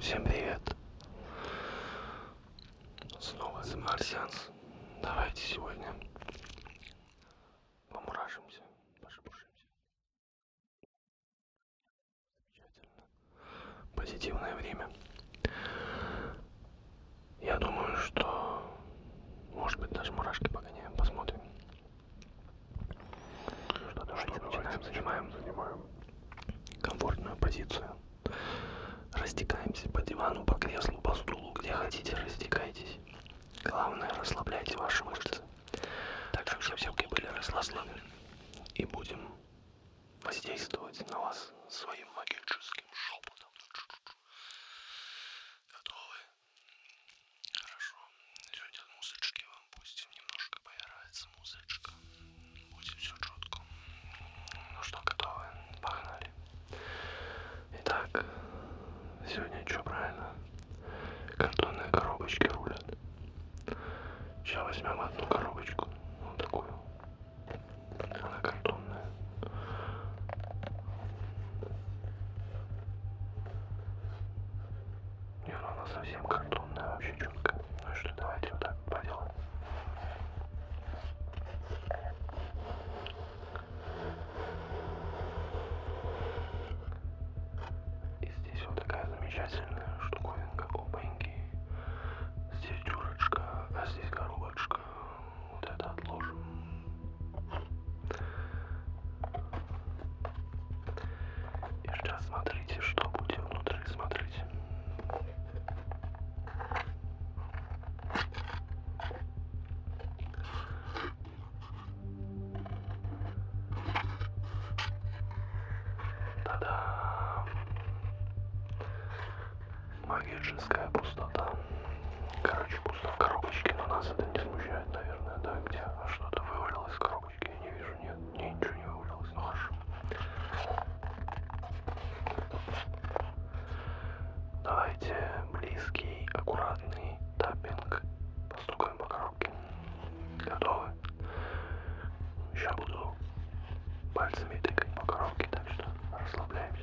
Всем привет! Снова The Martians. Давайте сегодня помуражимся, пошепушимся. Замечательно. Позитивное время. Я думаю, что, может быть, даже мурашки погоняем, посмотрим. Что, давайте что, начинаем, давайте занимаем, начинаем, занимаем комфортную позицию. Растекаемся по дивану, по креслу, по стулу, где хотите, растекайтесь. Главное, расслабляйте ваши мышцы. Так, чтобы все-таки были расслаблены. И будем воздействовать на вас своим магическим шепотом. Готовы? Хорошо. Сегодня музычки вам пустим. Немножко поиграется музычка. Будет все четко. Ну что, готовы? Погнали. Итак, сегодня что правильно? Картонные коробочки рулят. Сейчас возьмем одну коробочку. Вот такую. Она картонная. Не, ну она совсем картонная вообще четко. Ну и что, давайте вот так поделаем. И здесь вот такая замечательная штуковинка, опаньки. Здесь дюрочка, а здесь коробочка. Вот это отложим. И сейчас смотрите, что будет внутри, смотрите. Та-дам! Магическая пустота. Короче, пусто в коробочке, но нас это не смущает, наверное, да? Где что-то вывалилось из коробочки? Я не вижу, нет, нет ничего не вывалилось, ну хорошо. Давайте близкий, аккуратный таппинг. Постукаем по коробке. Готовы? Сейчас буду пальцами тыкать по коробке, так что расслабляемся.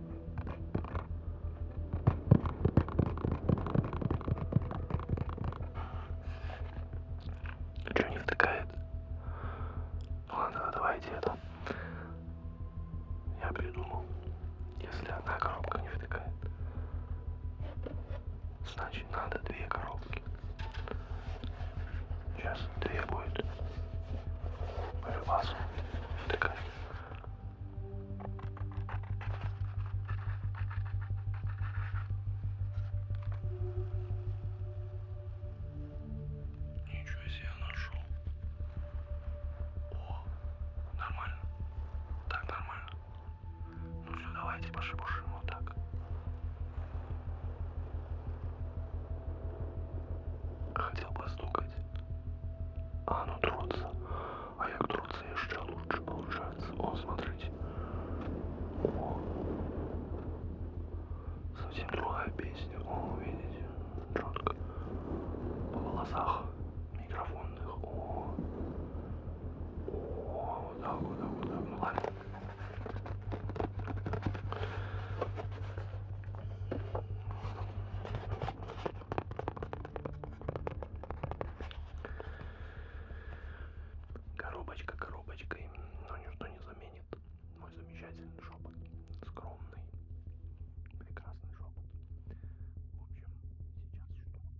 Ничего ну не втыкает. Ну ладно, давайте это. Я придумал. Если одна коробка не втыкает, значит надо две коробки. Сейчас две будет. По любасу втыкать. Ничего себе нашел. О, нормально. Так, нормально. Ну все, давайте пошибушим вот так. Хотел постукать. А, ну трутся. А як трутся еще лучше получается. О, смотрите. О. Совсем другая песня. О, видите? Четко. По волосах микрофонных. О. О, вот так, вот так, вот так. Ну ладно. Коробочка коробочкой, но ничто не заменит мой замечательный шепот, скромный, прекрасный шепот. В общем, сейчас что? Сейчас.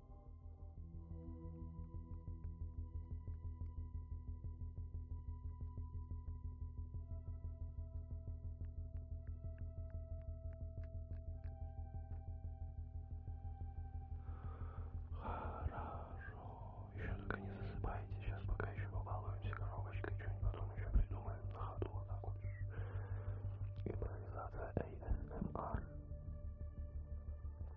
Хорошо. Еще только не засыпайте. Сейчас пока еще побалуемся коробочкой. Что-нибудь потом еще придумаем на ходу. Вот так вот. Импровизация ASMR.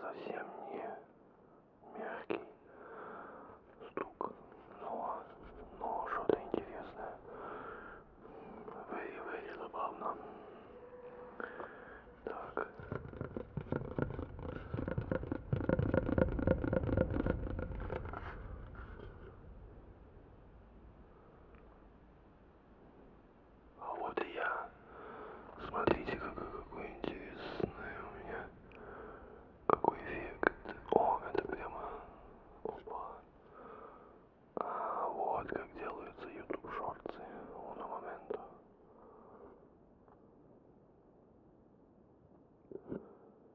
совсем не мягкий стук, но, но что-то интересное. Very, very забавно. Так. А вот и я. Смотрите-ка, какой интересный у меня. Какой эффект. О, это прямо... Опа. А вот как делаются YouTube шорты. Уно моменту.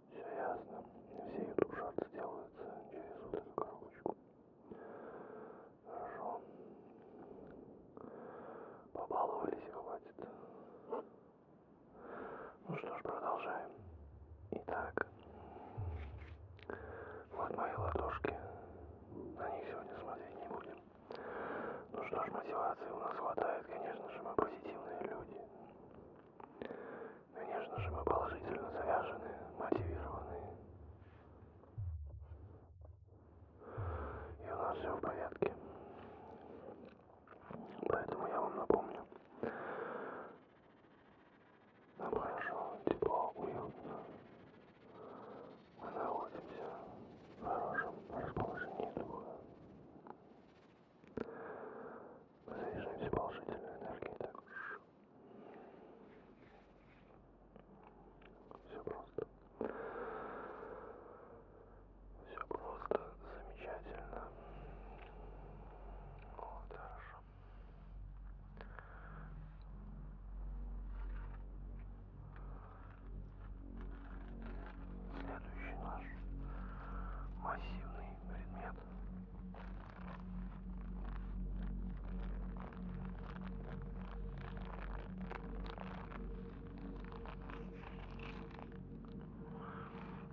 Все ясно. Все YouTube шорты делаются через вот эту коробочку. Хорошо. Побаловались, хватит. Ну что ж, продолжаем. Итак, вот мои ладошки. На них сегодня смотреть не будем. Ну что ж, мотивации у нас хватает, конечно же, мы позитивные люди. Конечно же, мы положительно заряжены, мотивированы. И у нас все в порядке. Поэтому я вам напомню. Нам хорошо, тепло, уютно. Мы находимся в хорошем расположении духа. Мы заряжаемся положительной энергией также. Все просто. Все просто замечательно. Вот, хорошо. Следующий наш массивный предмет.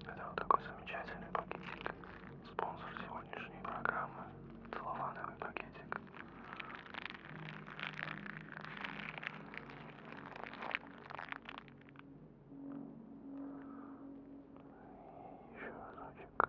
Это вот такой замечательный пакетик. Спонсор сегодняшней программы. Целлофановый пакетик. И еще разочек.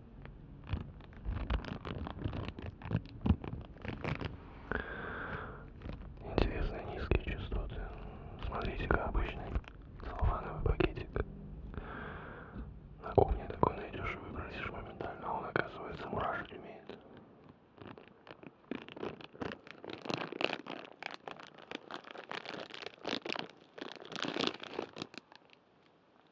Интересно, низкие частоты. Смотрите-ка обычный целлофановый пакетик. На кухне такой найдешь и выбросишь моментально, а он, оказывается, мурашить умеет.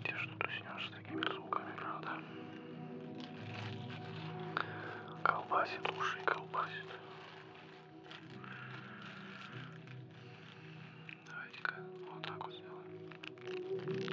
Где же туснешь с такими звуками, правда? Колбасит уши, колбасит. Давайте-ка вот так вот сделаем.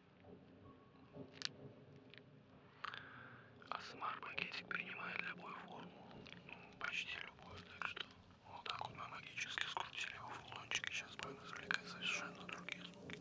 Асмар пакетик принимает любую форму, ну, почти любую, так что вот так вот мы магически скрутили его в рулончик, и сейчас будем извлекать совершенно другие звуки.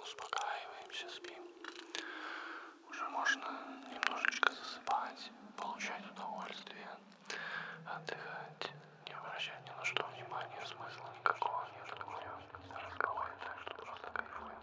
Успокаиваемся, спим. Уже можно немножечко засыпать, получать удовольствие. Отдыхать, не обращать ни на что внимания, смысла никакого нет, мне разговаривать так, что просто кайфуем.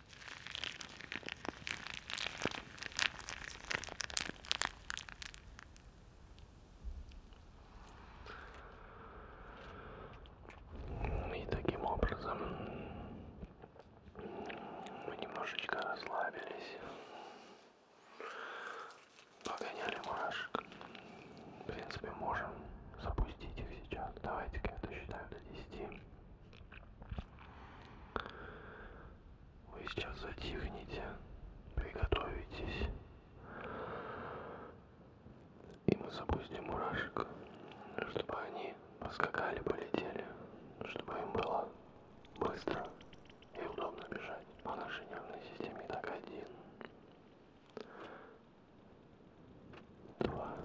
И таким образом мы немножечко расслабились, погоняли мурашек. В принципе, можем запустить запустить их сейчас. Давайте-ка я досчитаю до 10. Вы сейчас затихните, приготовитесь. И мы запустим мурашек, чтобы они поскакали, полетели, чтобы им было быстро и удобно бежать по нашей нервной системе. Так, один, два,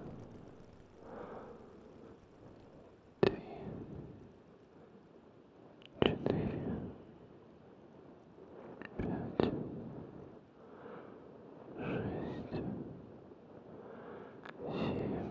три, четыре, пять, шесть, семь, восемь, девять, десять.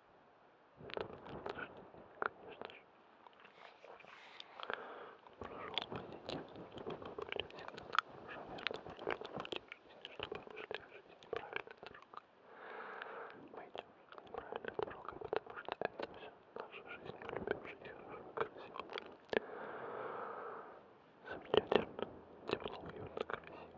конечно же. Прошел позитивно, чтобы были сигналы уже верному верному жизни, чтобы мы шли в жизни правильной дорогой. Мы идем неправильной дорогой, потому что это все наша жизнь, влюбившись хорошо, красиво. Замечательно, тепло, уютно, красиво.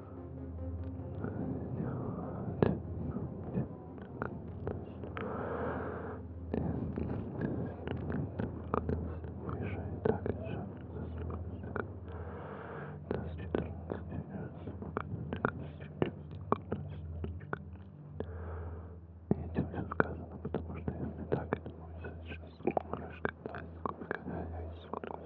этим все сказано, потому что если так, это будет сейчас кукурышка, да, сколько, да, сколько.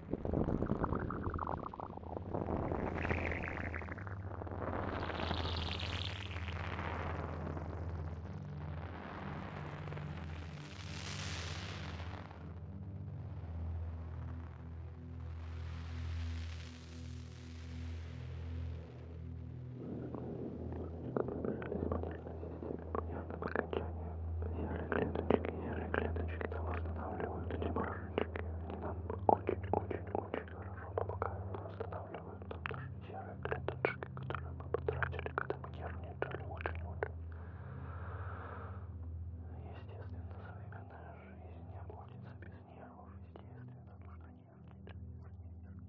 серые клеточки, серые клеточки там восстанавливают эти мороженки где нам очень-очень-очень хорошо помогают, восстанавливают там наши серые клеточки, которые мы потратили, когда мы нервничали очень-очень. Естественно, современная жизнь не обходится без нервов, естественно, потому что нервничать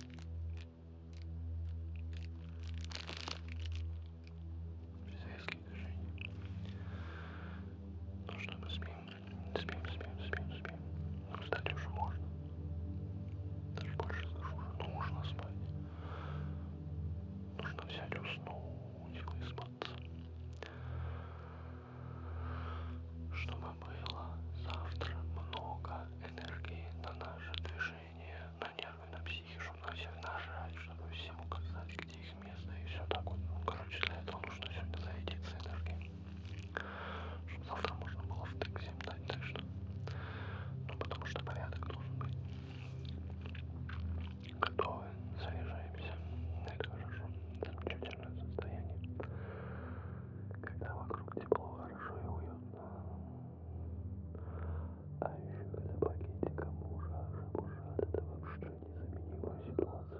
Полицейские движения. Ну что, мы спим, спим, спим, спим, спим. Ну, встать уже можно. Даже больше скажу, уже нужно спать. Нужно взять уснуть и выспаться. Чтобы нужно было завтра много энергии на наше движение, на нервы, на психишу, на всех нажать, чтобы всем указать, где их место и все так вот. Ну, короче, для этого нужно сегодня зарядиться энергией, чтобы завтра можно было втык всем дать, так что, ну, потому что порядок должен быть. Готовы, заряжаемся, это хорошо, замечательное состояние когда вокруг тепло, хорошо и уютно. А еще когда пакетиком мужа, мужа, это вообще незаменимая ситуация.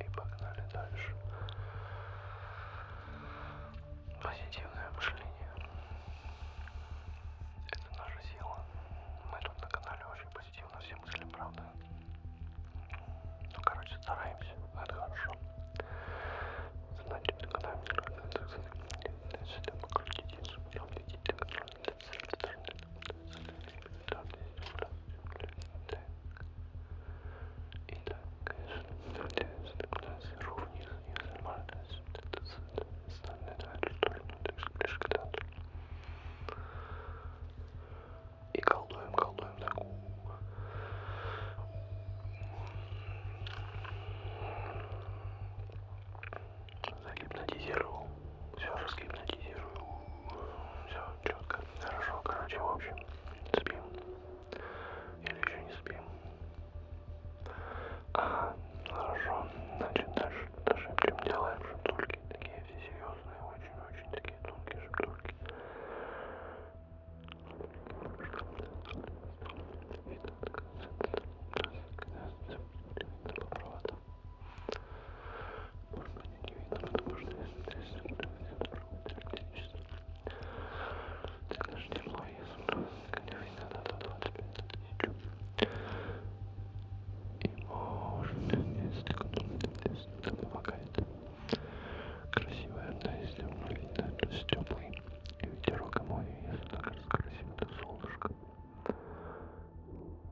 И погнали дальше. Позитивное мышление. Это наша сила. Мы тут на канале очень позитивно все мыслим, правда. Ну, короче, стараемся. Это хорошо. Значит, экономика. Значит, демократизм. Там видите, как и да, конечно, надеюсь, когда сижу вниз, не занимаюсь, это остальные дают сторону, лишь ближе к театру. И колдуем, колдуем такую. Загипнотизировал. Все разгипнотизирую. Все четко, хорошо, короче, в общем, спим. Или еще не спим. А, хорошо, значит, дальше шепчем, делаем шептульки, такие все серьезные, очень-очень такие тонкие шептульки. И так, по проводам. Может быть, не видно, потому что если ты свернешь, то электричество. Так даже тепло, если только не видно, то 25 тысяч. И может, если кто-то помогает. Красивая одна, если он видно, то есть теплый. И ветерок и море, если так красиво, то солнышко.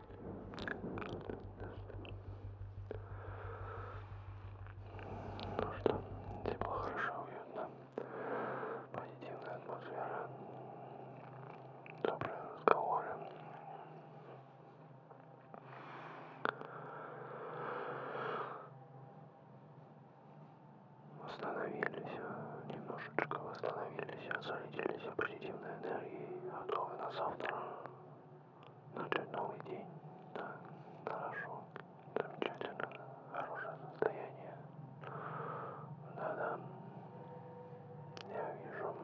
Ну что, тепло, хорошо, уютно, позитивная атмосфера, добрые разговоры. Восстановились, э, немножечко восстановились от э, зарядились позитивной энергией и готовы на завтра начать новый день. Да, хорошо, замечательно, хорошее состояние. Да-да, я вижу,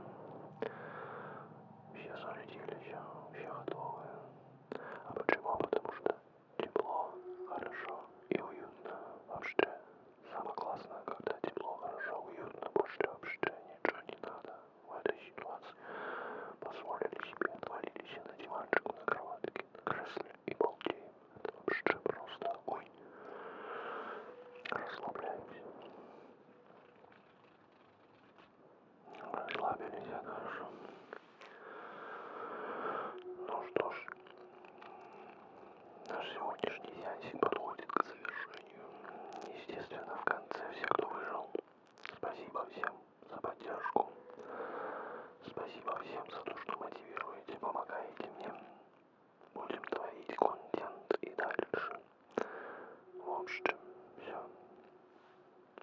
все зарядились, все готовы. А почему? Потому что тепло, хорошо и уютно. Вообще, самое классное, когда тепло, хорошо, уютно, больше вообще ничего не надо. В этой ситуации позволили себе отвалились на диванчику, на кроватке, на кресле и балдеем. Это вообще просто огонь. Расслабляемся. Расслабились, это хорошо. Ну что ж, наш сегодняшний сеансик подходит к завершению сожалению. Естественно, в конце все, кто выжил. Спасибо всем за поддержку. Спасибо всем за то, что мотивируете, помогаете мне. Будем творить контент и дальше. В общем, все.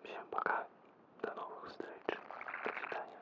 Всем пока. До новых встреч. До свидания.